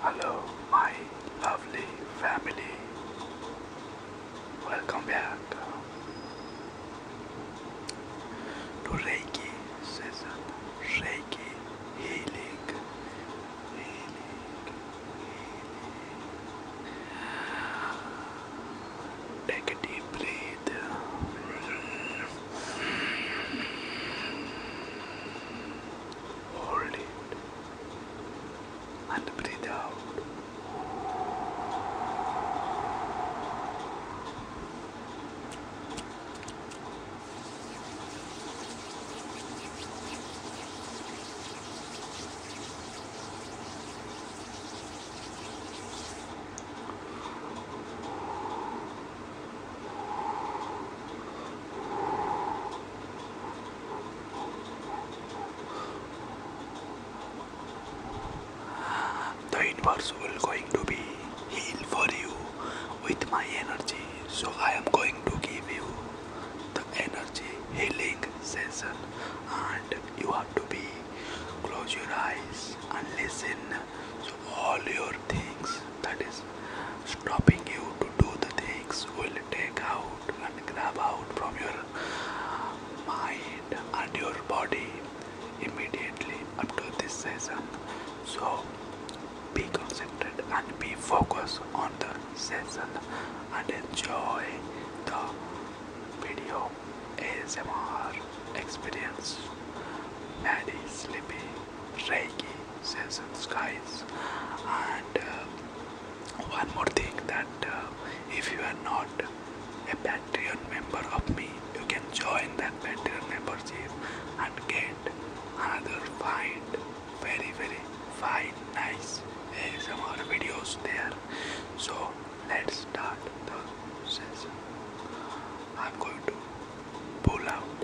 Hello, my lovely family. Welcome back to Reiki Reiki healing. Take a deep breath. Hold it and breathe out. The universe will going to be healed for you with my energy. So I am going to give you the energy healing session and you have to be Close your eyes and listen so all your things that is stopping you to do the things will take out and grab out from your mind and your body immediately after this session. So be concentrated and be focused on the session and enjoy the video. ASMR experience Maddie Sleepy Reiki sessions skies, and uh, one more thing that uh, if you are not a Patreon member of me you can join that Patreon membership and get another fine very very fine nice ASMR videos there so let's start the session. I'm going to pull out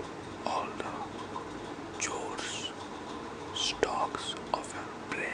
all the chores, stocks of your brain.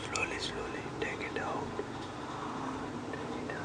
Slowly, slowly take it out. Take it out.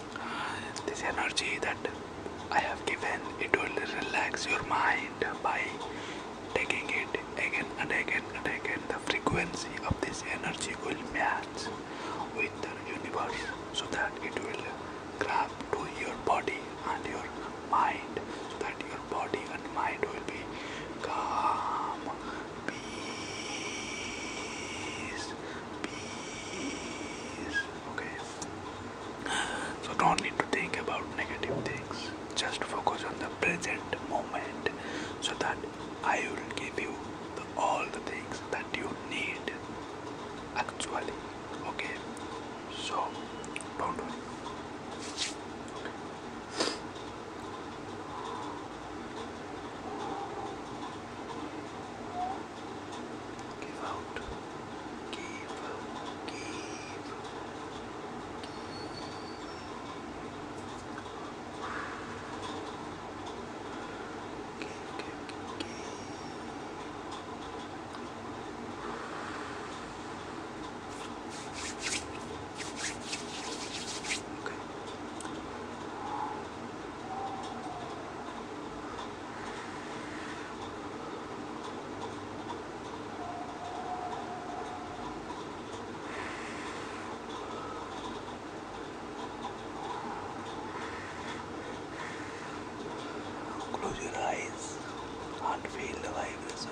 this energy that I have given it will relax your mind by taking it again and again and again the frequency of this energy will match with the universe so that it will grab to your body and your mind that your body and mind will be calm peace, peace. Okay. So don't need to think about negative things. Just focus on the present moment, so that I will give you all the things that you need. Actually, okay. So don't worry. Okay. Give out. Give. Give. Give. Give. Give. give. Okay. Close your eyes and feel the vibration.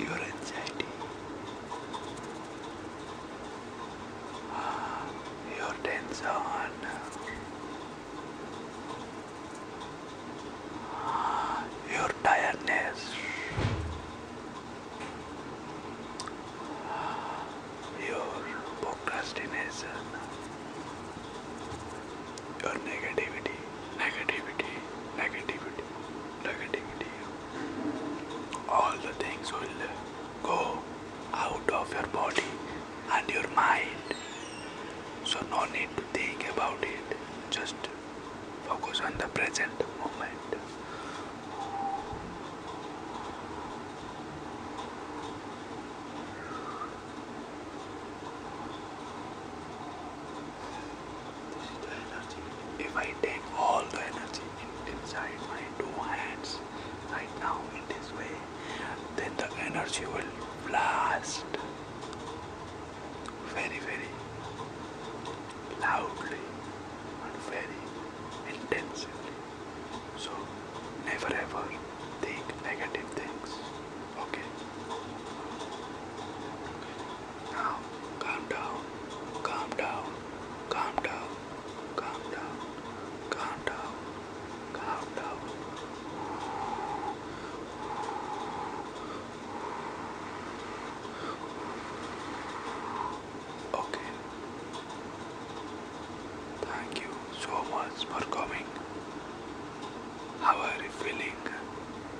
your anxiety, your tension your tiredness, your procrastination, your negativity, negativity, negativity, negativity. All the things will go out of your body and your mind. So, no need to think about it, just focus on the present moment. This is the energy. If I take all the energy inside my two hands right now in this way, then the energy will blast very, very loudly and very intensely. So never ever think negative things. Okay. Now calm down, calm down, calm down, calm down, calm down. Okay. Thank you so much for coming. How are you feeling?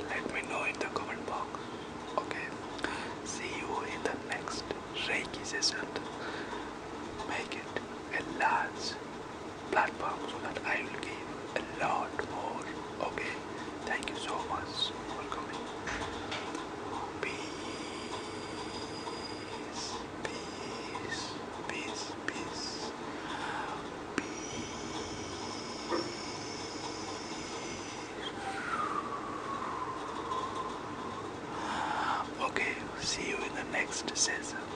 Let me know in the comment box. Okay. See you in the next Reiki session. Make it a large platform so that I will give a lot more. Okay, thank you so much for coming. Peace, peace, peace, peace, peace. Okay, see you in the next session.